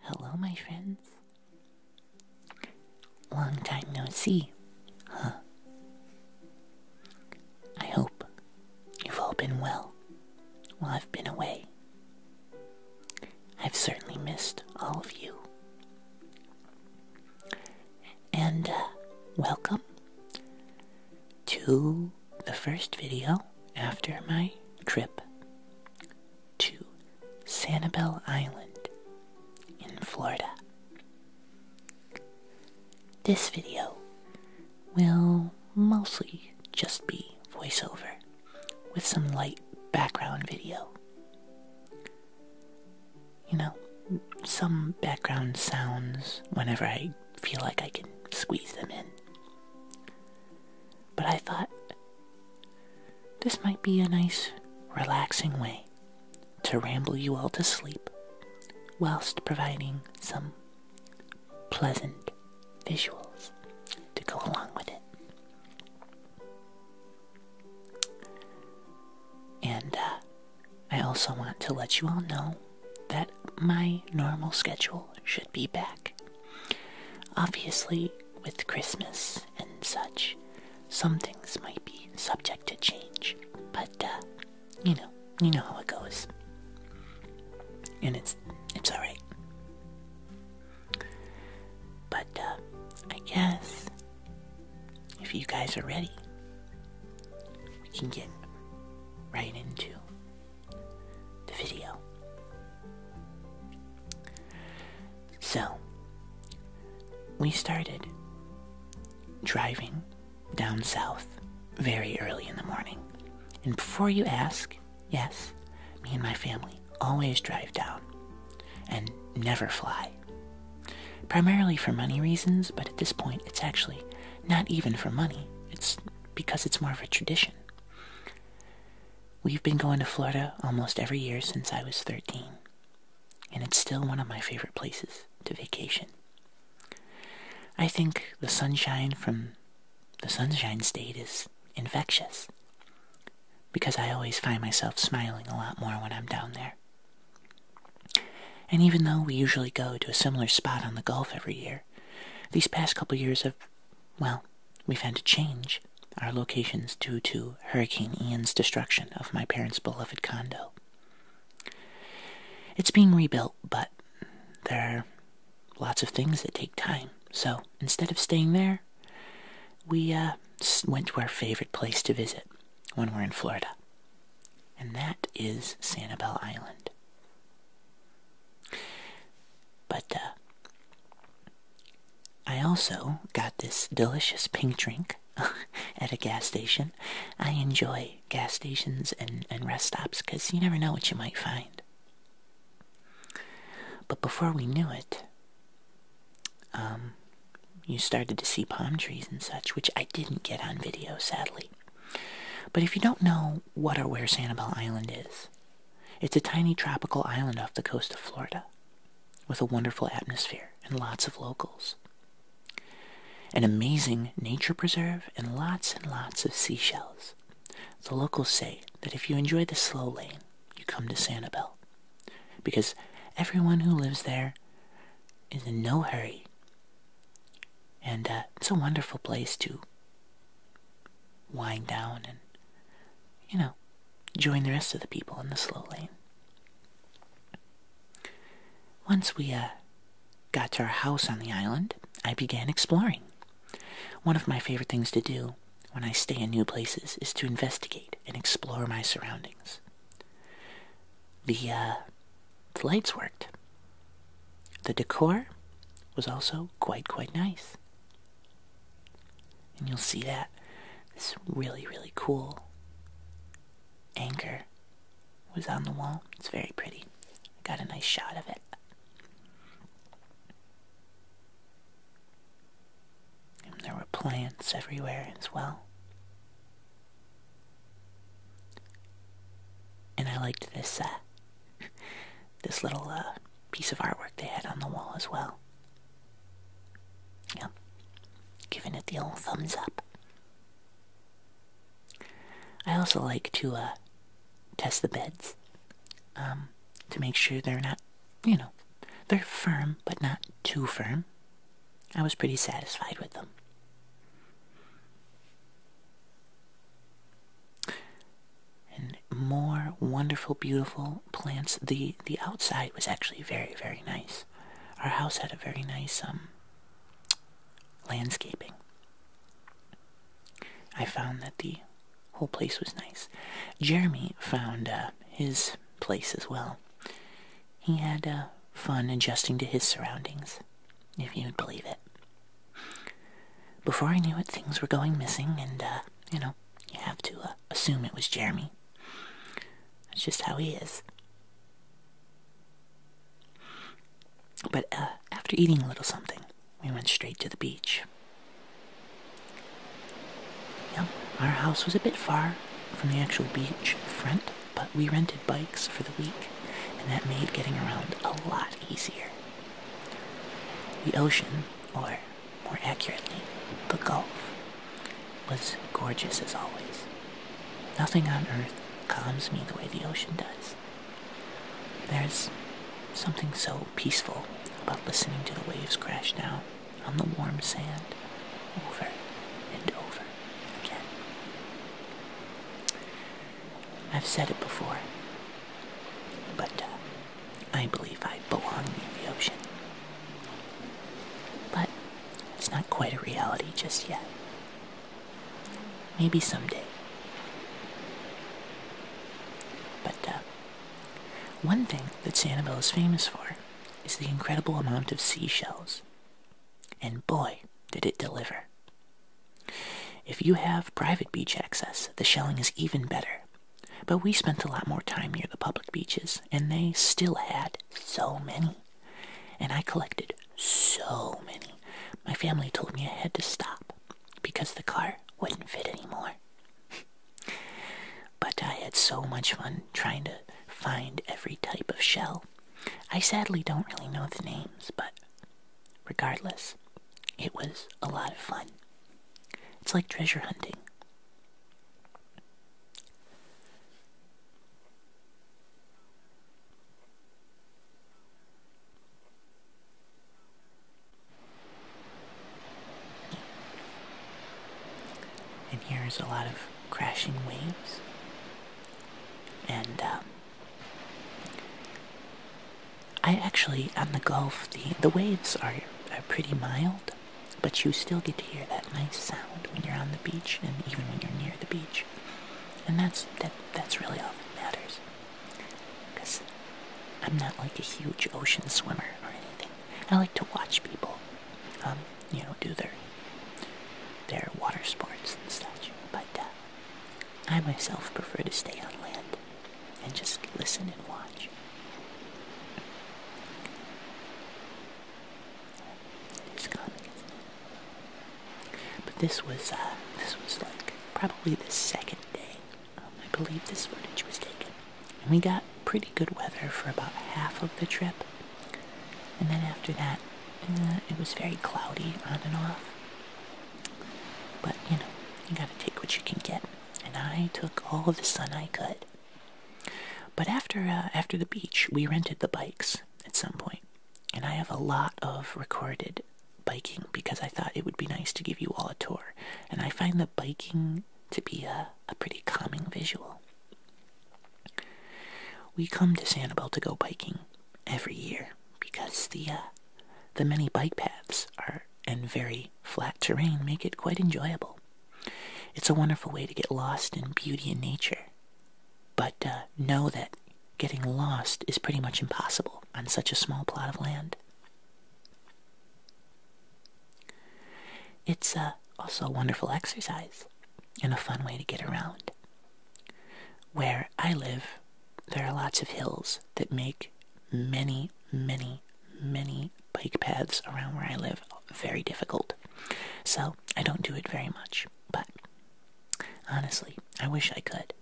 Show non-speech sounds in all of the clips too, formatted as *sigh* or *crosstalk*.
Hello, my friends. Long time no see, huh? I hope you've all been well while I've been away. I've certainly missed all of you. And uh, welcome to the first video after my trip to Sanibel Island in Florida. This video will mostly just be voiceover with some light background video. You know, some background sounds whenever I feel like I can squeeze them in. But I thought this might be a nice, relaxing way to ramble you all to sleep whilst providing some pleasant visuals to go along with it. And uh, I also want to let you all know that my normal schedule should be back Obviously, with Christmas and such, some things might be subject to change, but uh, you know, you know how it goes, and it's it's all right. But uh, I guess if you guys are ready, we can get right into the video. So, we started driving down south very early in the morning. And before you ask, yes, me and my family always drive down and never fly. Primarily for money reasons, but at this point it's actually not even for money. It's because it's more of a tradition. We've been going to Florida almost every year since I was 13, and it's still one of my favorite places to vacation. I think the sunshine from the Sunshine State is infectious because I always find myself smiling a lot more when I'm down there. And even though we usually go to a similar spot on the Gulf every year, these past couple years have well, we've had to change our locations due to Hurricane Ian's destruction of my parents' beloved condo. It's being rebuilt, but there are lots of things that take time. So instead of staying there, we uh, went to our favorite place to visit when we're in Florida, and that is Sanibel Island. But uh, I also got this delicious pink drink *laughs* at a gas station. I enjoy gas stations and, and rest stops because you never know what you might find. But before we knew it, um, you started to see palm trees and such, which I didn't get on video, sadly. But if you don't know what or where Sanibel Island is, it's a tiny tropical island off the coast of Florida with a wonderful atmosphere and lots of locals. An amazing nature preserve and lots and lots of seashells. The locals say that if you enjoy the slow lane, you come to Sanibel because everyone who lives there is in no hurry. And uh, it's a wonderful place to wind down and, you know, join the rest of the people in the slow lane. Once we uh, got to our house on the island, I began exploring. One of my favorite things to do when I stay in new places is to investigate and explore my surroundings. The, uh, the lights worked. The decor was also quite, quite nice. And you'll see that this really, really cool anchor was on the wall. It's very pretty. I got a nice shot of it. there were plants everywhere as well. And I liked this uh, *laughs* this little uh, piece of artwork they had on the wall as well. Yep, giving it the old thumbs up. I also like to uh, test the beds um, to make sure they're not, you know, they're firm but not too firm. I was pretty satisfied with them and more wonderful, beautiful plants. The the outside was actually very, very nice. Our house had a very nice um, landscaping. I found that the whole place was nice. Jeremy found uh, his place as well. He had uh, fun adjusting to his surroundings, if you'd believe it. Before I knew it, things were going missing, and, uh, you know, you have to uh, assume it was Jeremy. That's just how he is. But uh, after eating a little something, we went straight to the beach. Yep, our house was a bit far from the actual beach front, but we rented bikes for the week, and that made getting around a lot easier. The ocean, or more accurately, the Gulf was gorgeous as always. Nothing on earth calms me the way the ocean does. There's something so peaceful about listening to the waves crash down on the warm sand over and over again. I've said it before, but uh, I believe I belong near the ocean. But it's not quite a reality just yet. Maybe someday. But uh, one thing that Sanibel is famous for is the incredible amount of seashells. And boy, did it deliver. If you have private beach access, the shelling is even better but we spent a lot more time near the public beaches, and they still had so many. And I collected so many. My family told me I had to stop because the car wouldn't fit anymore. but I had so much fun trying to find every type of shell. I sadly don't really know the names, but regardless, it was a lot of fun. It's like treasure hunting. And here's a lot of crashing waves. And um, I actually, on the Gulf, the, the waves are, are pretty mild, but you still get to hear that nice sound when you're on the beach and even when you're near the beach. And that's, that, that's really all that matters. Because I'm not like a huge ocean swimmer or anything. I like to watch people, um, you know, do their, their water sports and stuff. But uh, I myself prefer to stay on land and just listen and watch. But this was, uh, this was like probably the second day. Um, I believe this footage was taken. And we got pretty good weather for about half of the trip. And then after that, uh, it was very cloudy on and off. But, you know, you gotta take what you can get and I took all the sun I could. But after uh, after the beach, we rented the bikes at some point, and I have a lot of recorded biking because I thought it would be nice to give you all a tour, and I find the biking to be a, a pretty calming visual. We come to Sanibel to go biking every year because the uh, the many bike paths are and very flat terrain make it quite enjoyable. It's a wonderful way to get lost in beauty and nature, but uh, know that getting lost is pretty much impossible on such a small plot of land. It's uh, also a wonderful exercise and a fun way to get around. Where I live, there are lots of hills that make many, many, many bike paths around where I live very difficult. So I don't do it very much, but honestly, I wish I could.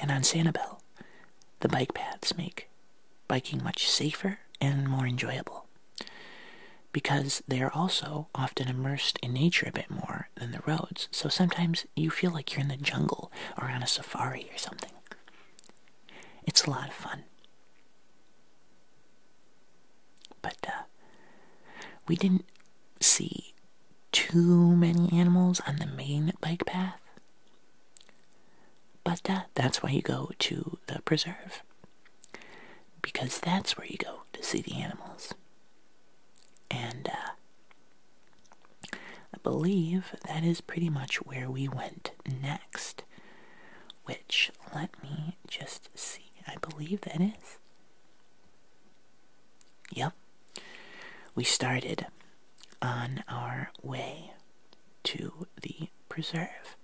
And on Sanibel, the bike paths make biking much safer and more enjoyable because they are also often immersed in nature a bit more than the roads. So sometimes you feel like you're in the jungle or on a safari or something. It's a lot of fun. But uh, we didn't see too many animals on the main bike path. But uh, that's why you go to the preserve. Because that's where you go to see the animals. And uh, I believe that is pretty much where we went next, which let me just see. I believe that is. Yep. We started on our way to the preserve.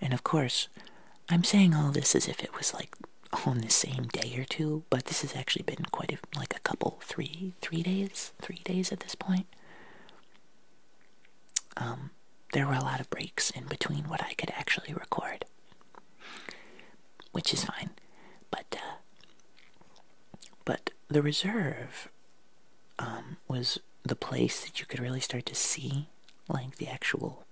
And of course, I'm saying all this as if it was like on the same day or two, but this has actually been quite like a couple three three days three days at this point um, there were a lot of breaks in between what i could actually record which is fine but uh, but the reserve um, was the place that you could really start to see like the actual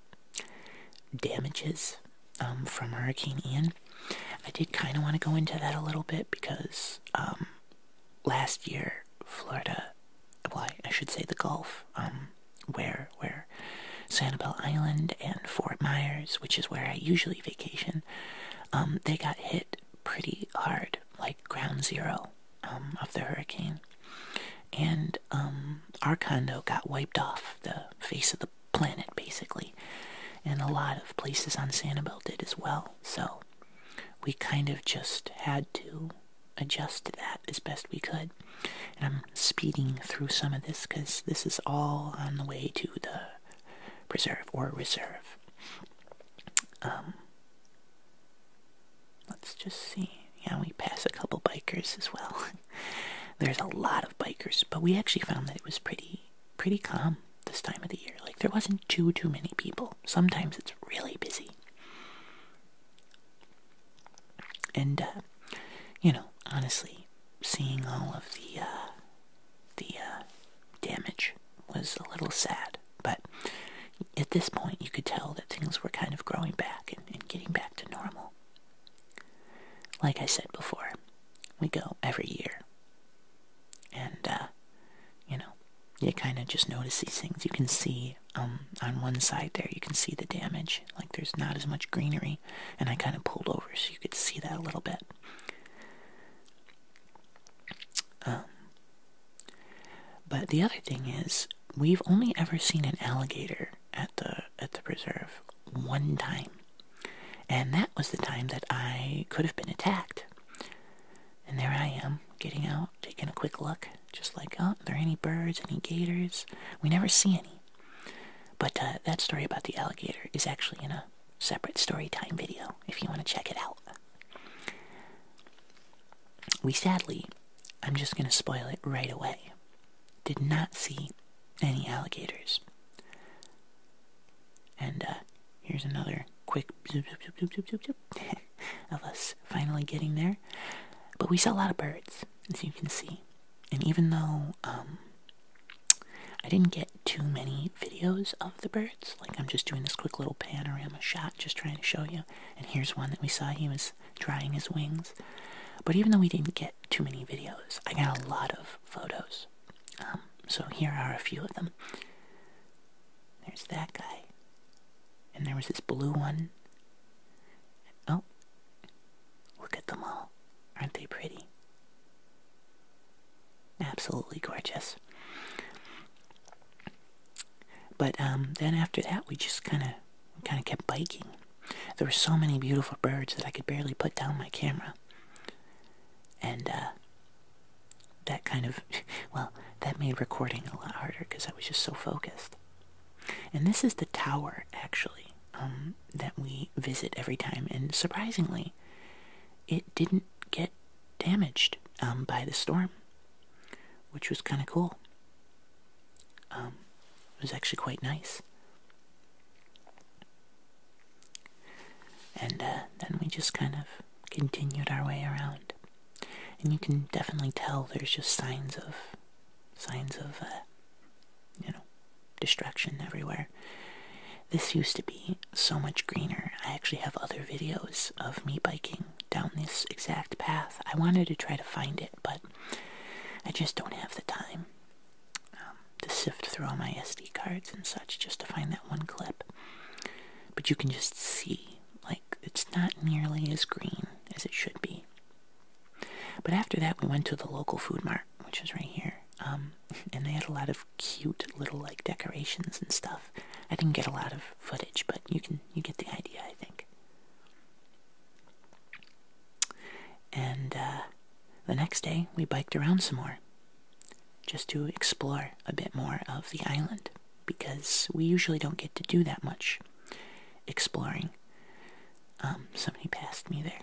damages um, from hurricane ian I did kind of want to go into that a little bit because um, last year Florida, why I, should say the Gulf, um, where where Sanibel Island and Fort Myers, which is where I usually vacation, um, they got hit pretty hard, like ground zero of the hurricane, and our condo got wiped off the face of the planet basically and a lot of places on sanibel did as well so we kind of just had to adjust to that as best we could and i'm speeding through some of this because this is all on the way to the preserve or reserve um, let's just see yeah we pass a couple bikers as well *laughs* there's a lot of bikers but we actually found that it was pretty pretty calm this time of the year. Like there wasn't too too many people. Sometimes it's really busy. And uh, you know, honestly, seeing all of the uh, the uh, damage was a little sad. But at this point, you could tell that things were kind of growing back and, and getting back to normal. Like I said before, we go every year and uh, you know, you kind of just notice these things. You can see um, on one side there, you can see the damage. Like there's not as much greenery, and I kind of pulled over so you could see that a little bit. Um, but the other thing is, we've only ever seen an alligator at the at the preserve one time. And that was the time that I could have been attacked. And there I am, getting out, taking a quick look, just like, oh, are there any birds, any gators? We never see any. But uh, that story about the alligator is actually in a separate story time video if you want to check it out. We sadly, I'm just going to spoil it right away, did not see any alligators. And uh, here's another quick zoop, zoop, zoop, zoop, zoop, of us finally getting there. But we saw a lot of birds, as you can see. And even though um, I didn't get too many videos of the birds, like I'm just doing this quick little panorama shot, just trying to show you. And here's one that we saw, he was drying his wings. But even though we didn't get too many videos, I got a lot of photos um, so here are a few of them. There's that guy. And there was this blue one. Oh, look at them all. Aren't they pretty? Absolutely gorgeous. But um, then after that, we just kind of kind of kept biking. There were so many beautiful birds that I could barely put down my camera. And uh, that kind of, *laughs* well, that made recording a lot harder because I was just so focused. And this is the tower, actually, um, that we visit every time. And surprisingly, it didn't get damaged um, by the storm, which was kind of cool. Um, it was actually quite nice. And uh, then we just kind of continued our way around. And you can definitely tell there's just signs of, signs of, uh, you know, distraction everywhere. This used to be so much greener. I actually have other videos of me biking down this exact path. I wanted to try to find it, but I just don't have the time. Um, to sift through all my SD cards and such just to find that one clip. But you can just see, like, it's not nearly as green as it should be. But after that, we went to the local food mart, which is right here, um, *laughs* and they had a lot of cute little like decorations and stuff. I didn't get a lot of footage, but you can you get the idea, I think. And uh, the next day, we biked around some more just to explore a bit more of the island because we usually don't get to do that much exploring. Um, somebody passed me there.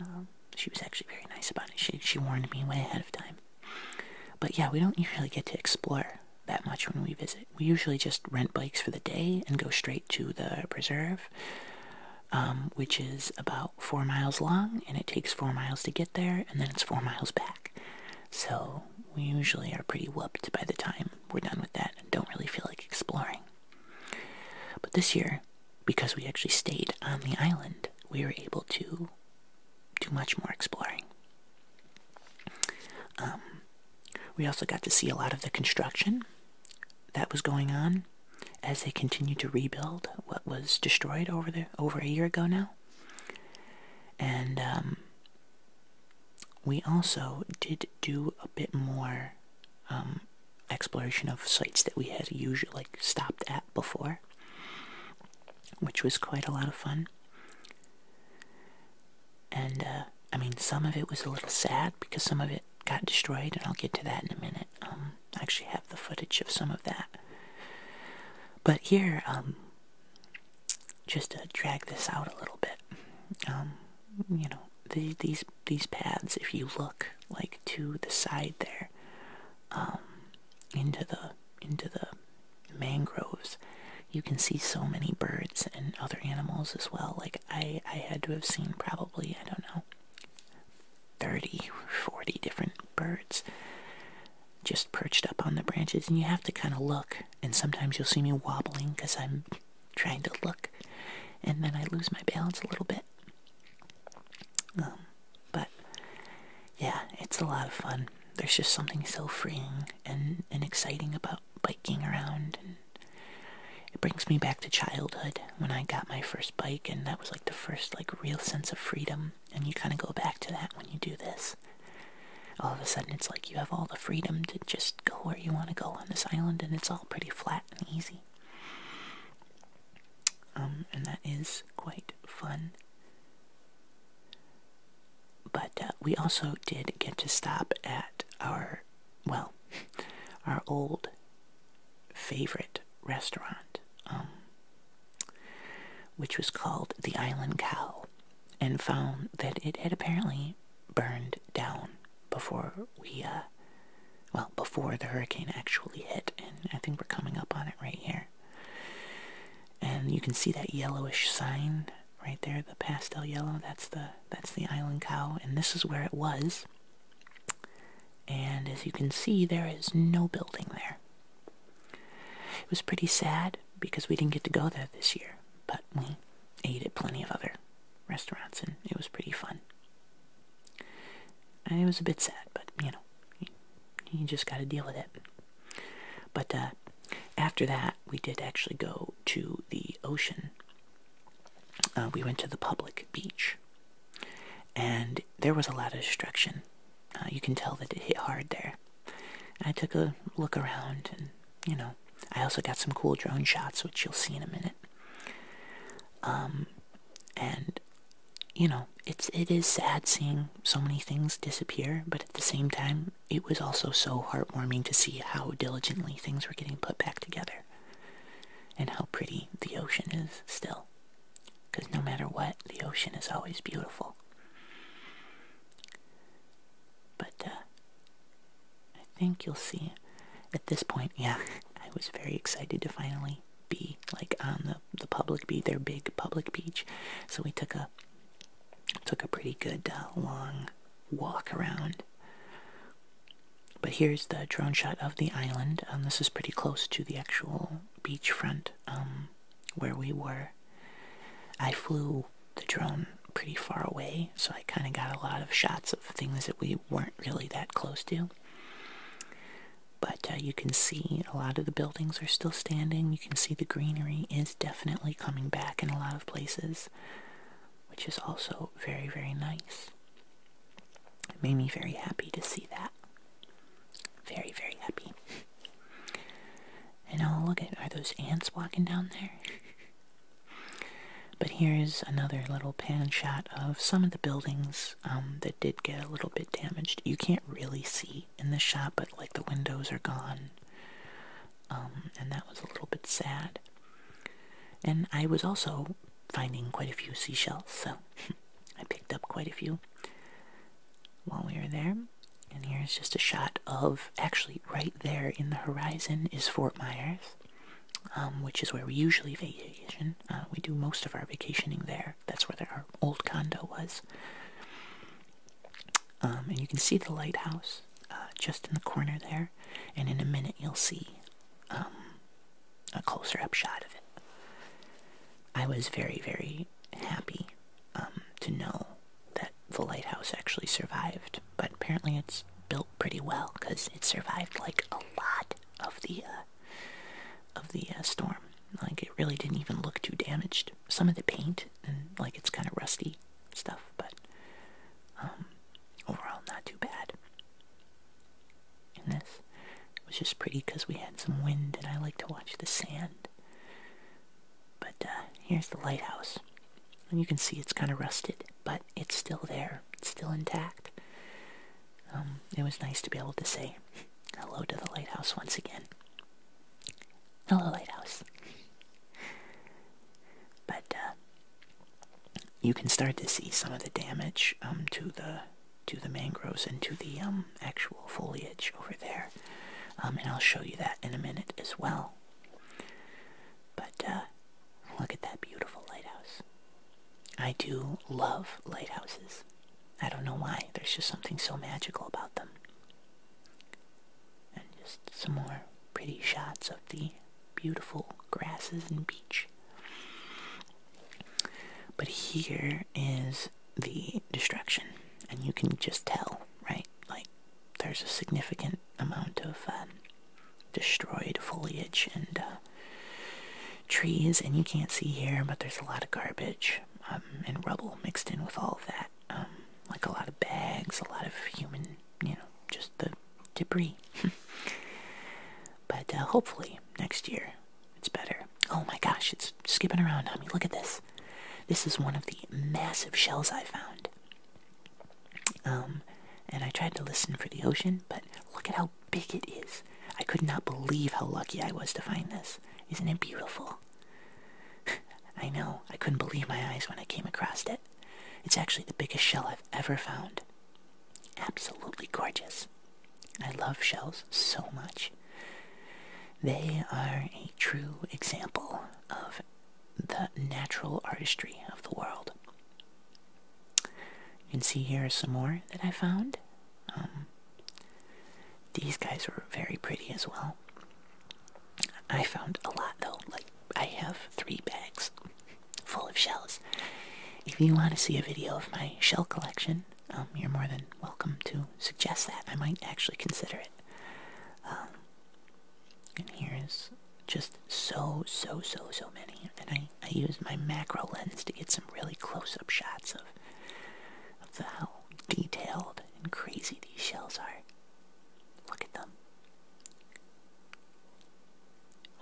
Um, she was actually very nice about it. She, warned me way ahead of time. But yeah, we don't usually get to explore that much when we visit. We usually just rent bikes for the day and go straight to the preserve, um, which is about four miles long and it takes four miles to get there and then it's four miles back. So we usually are pretty whooped by the time we're done with that and don't really feel like exploring. But this year, because we actually stayed on the island, we were able to do much more exploring. Um, we also got to see a lot of the construction that was going on as they continued to rebuild what was destroyed over there over a year ago now. And um, we also did do a bit more um, exploration of sites that we had usually like, stopped at before, which was quite a lot of fun. And uh, I mean, some of it was a little sad because some of it got destroyed, and I'll get to that in a minute. Um, actually have the footage of some of that. But here, um, just to drag this out a little bit, um, you know, the, these these paths, if you look like to the side there, um, into the into the mangroves, you can see so many birds and other animals as well. Like I, I had to have seen probably I don't know 30 40 different birds just perched up on the branches, and you have to kind of look. And sometimes you'll see me wobbling because I'm trying to look, and then I lose my balance a little bit. Um, but yeah, it's a lot of fun. There's just something so freeing and, and exciting about biking around, and it brings me back to childhood when I got my first bike, and that was like the first like real sense of freedom and you kind of go back to that when you do this. All of a sudden, it's like you have all the freedom to just go where you want to go on this island, and it's all pretty flat and easy. Um, and that is quite fun. But uh, we also did get to stop at our, well, *laughs* our old favorite restaurant. Um, which was called the Island Cow, and found that it had apparently burned down before we, uh, well, before the hurricane actually hit. And I think we're coming up on it right here. And you can see that yellowish sign right there, the pastel yellow. That's the that's the Island Cow, and this is where it was. And as you can see, there is no building there. It was pretty sad because we didn't get to go there this year, but we ate at plenty of other restaurants and it was pretty fun. And it was a bit sad, but you know, you, just got to deal with it. But uh, after that, we did actually go to the ocean. Uh, we went to the public beach, and there was a lot of destruction uh, you can tell that it hit hard there. I took a look around, and you know, I also got some cool drone shots, which you'll see in a minute. Um, and you know, it's it is sad seeing so many things disappear, but at the same time, it was also so heartwarming to see how diligently things were getting put back together, and how pretty the ocean is still. Because no matter what, the ocean is always beautiful. But uh, I think you'll see at this point, yeah, *laughs* I was very excited to finally be like on the, the public beach, their big public beach. So we took a took a pretty good uh, long walk around. But here's the drone shot of the island. Um, this is pretty close to the actual beachfront um, where we were. I flew the drone pretty far away, so I kind of got a lot of shots of things that we weren't really that close to. But uh, you can see a lot of the buildings are still standing. You can see the greenery is definitely coming back in a lot of places, which is also very, very nice. It made me very happy to see that. Very, very happy. And oh, look at, are those ants walking down there? but here's another little pan shot of some of the buildings um, that did get a little bit damaged. You can't really see in the shot, but like the windows are gone. Um, and that was a little bit sad. And I was also finding quite a few seashells, so *laughs* I picked up quite a few while we were there. And here's just a shot of actually right there in the horizon is Fort Myers, um, which is where we usually vacation. Uh, we do most of our vacationing there. That's where our old condo was. Um, and you can see the lighthouse uh, just in the corner there. And in a minute, you'll see um, a closer up shot of it. I was very, very happy um, to know that the lighthouse actually survived, but apparently it's built pretty well because it survived like a lot of the uh, of the uh, storm. Like it really didn't even look too damaged. Some of the paint and like it's kind of rusty stuff, but um, overall not too bad. And this was just pretty because we had some wind, and I like to watch the sand but uh, here's the lighthouse. And you can see it's kind of rusted, but it's still there. It's still intact. Um, it was nice to be able to say hello to the lighthouse once again. Hello, lighthouse. But uh, you can start to see some of the damage um, to the to the mangroves and to the um, actual foliage over there. Um, and I'll show you that in a minute as well. But uh, look at that beautiful lighthouse. I do love lighthouses. I don't know why. There's just something so magical about them. And just some more pretty shots of the beautiful grasses and beach. But here is the destruction, and you can just tell, right? Like, there's a significant amount of um, destroyed foliage and uh, trees, and you can't see here, but there's a lot of garbage um, and rubble mixed in with all of that. Um, like a lot of bags, a lot of human, you know, just the debris. *laughs* but uh, hopefully next year it's better. Oh my gosh, it's skipping around on me. Look at this. This is one of the massive shells I found. Um, and I tried to listen for the ocean, but look at how big it is. I could not believe how lucky I was to find this. Isn't it beautiful? *laughs* I know. I couldn't believe my eyes when I came across it. It's actually the biggest shell I've ever found. Absolutely gorgeous. I love shells so much. They are a true example of the natural artistry of the world. You can see here some more that I found. Um, these guys were very pretty as well. I found a lot though. Like, I have three bags full of shells. If you want to see a video of my shell collection, um, you're more than welcome to suggest that. I might actually consider it. Um, and here's just so, so, so, so many. And I, I used my macro lens to get some really close-up shots of, of the, how detailed and crazy these shells are. Look at them.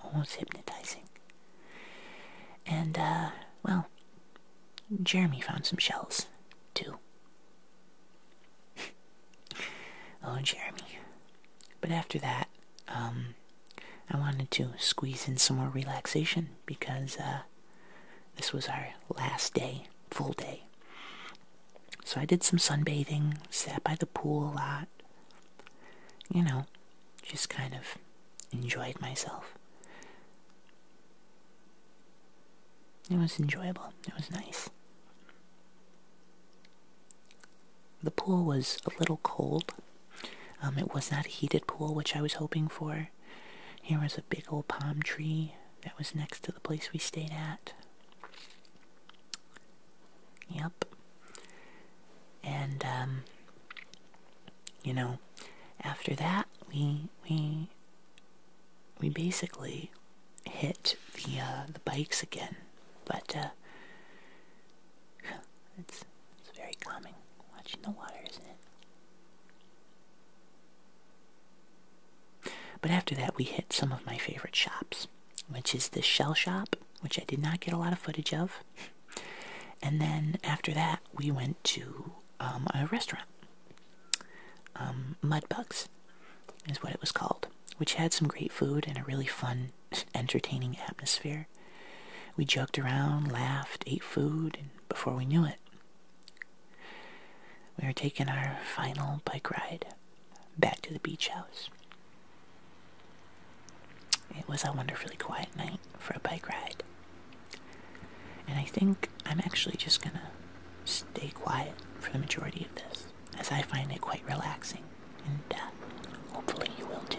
Almost hypnotizing. And, uh, well, Jeremy found some shells Two. oh, Jeremy. But after that, um, I wanted to squeeze in some more relaxation because uh, this was our last day, full day. So I did some sunbathing, sat by the pool a lot, you know, just kind of enjoyed myself. It was enjoyable. It was nice. The pool was a little cold. Um, it was not a heated pool, which I was hoping for. Here was a big old palm tree that was next to the place we stayed at. Yep. And, um, you know, after that, we, we we basically hit the uh, the bikes again, but uh, *sighs* it's it's very calming watching the water, isn't it? But after that, we hit some of my favorite shops, which is the shell shop, which I did not get a lot of footage of, *laughs* and then after that, we went to um, a restaurant. Um, Mudbugs is what it was called, which had some great food and a really fun, entertaining atmosphere. We joked around, laughed, ate food, and before we knew it, we were taking our final bike ride back to the beach house. It was a wonderfully quiet night for a bike ride. And I think I'm actually just gonna stay quiet for the majority of this, as I find it quite relaxing, and uh, hopefully you will too.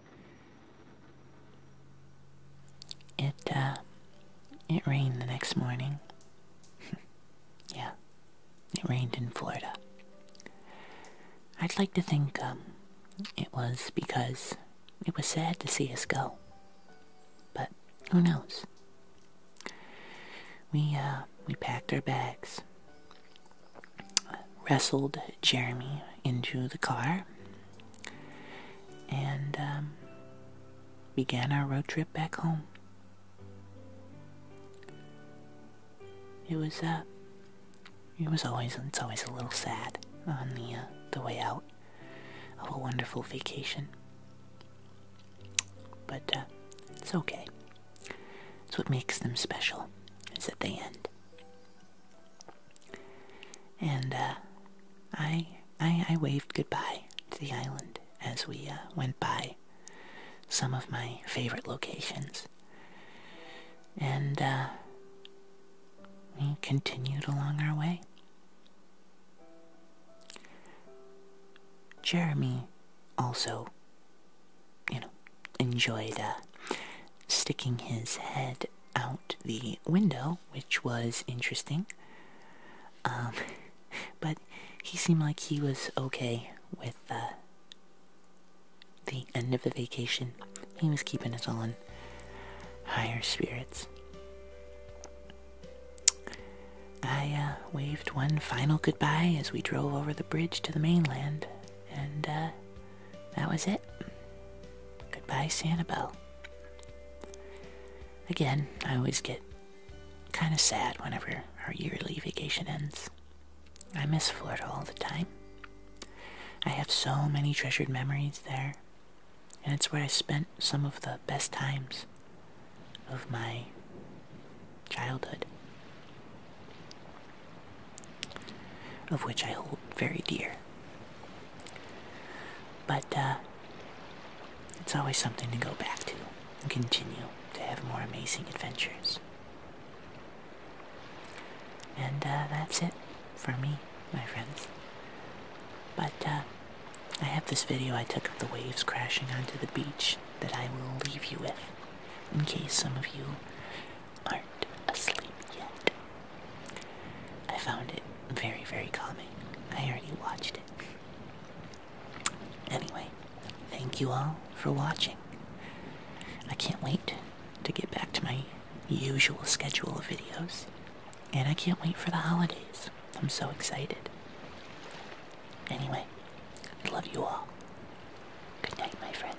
It, uh, it rained the next morning. *laughs* yeah, it rained in Florida. I'd like to think, um, it was because it was sad to see us go. But who knows? We, uh, we packed our bags, wrestled Jeremy into the car and um, began our road trip back home. It was uh, it was always it's always a little sad on the uh, the way out of a wonderful vacation, but uh, it's okay. It's what makes them special is that they end. And uh, I, I, I waved goodbye to the island as we uh, went by some of my favorite locations. And uh, we continued along our way. Jeremy also, you know, enjoyed sticking his head out the window, which was interesting. Um, *laughs* but he seemed like he was okay with uh, the end of the vacation. He was keeping us on higher spirits. I uh, waved one final goodbye as we drove over the bridge to the mainland, and uh, that was it. Goodbye, Santa Sanibel. Again, I always get kind of sad whenever our yearly vacation ends. I miss Florida all the time. I have so many treasured memories there, and it's where I spent some of the best times of my childhood, of which I hold very dear. But uh, it's always something to go back to and continue to have more amazing adventures. And uh, that's it for me, my friends. But uh, I have this video I took of the waves crashing onto the beach that I will leave you with in case some of you aren't asleep yet. I found it very, very calming. I already watched it. Anyway, thank you all for watching. I can't wait to get back to my usual schedule of videos. And I can't wait for the holidays. I'm so excited. Anyway, I love you all. Good night, my friends.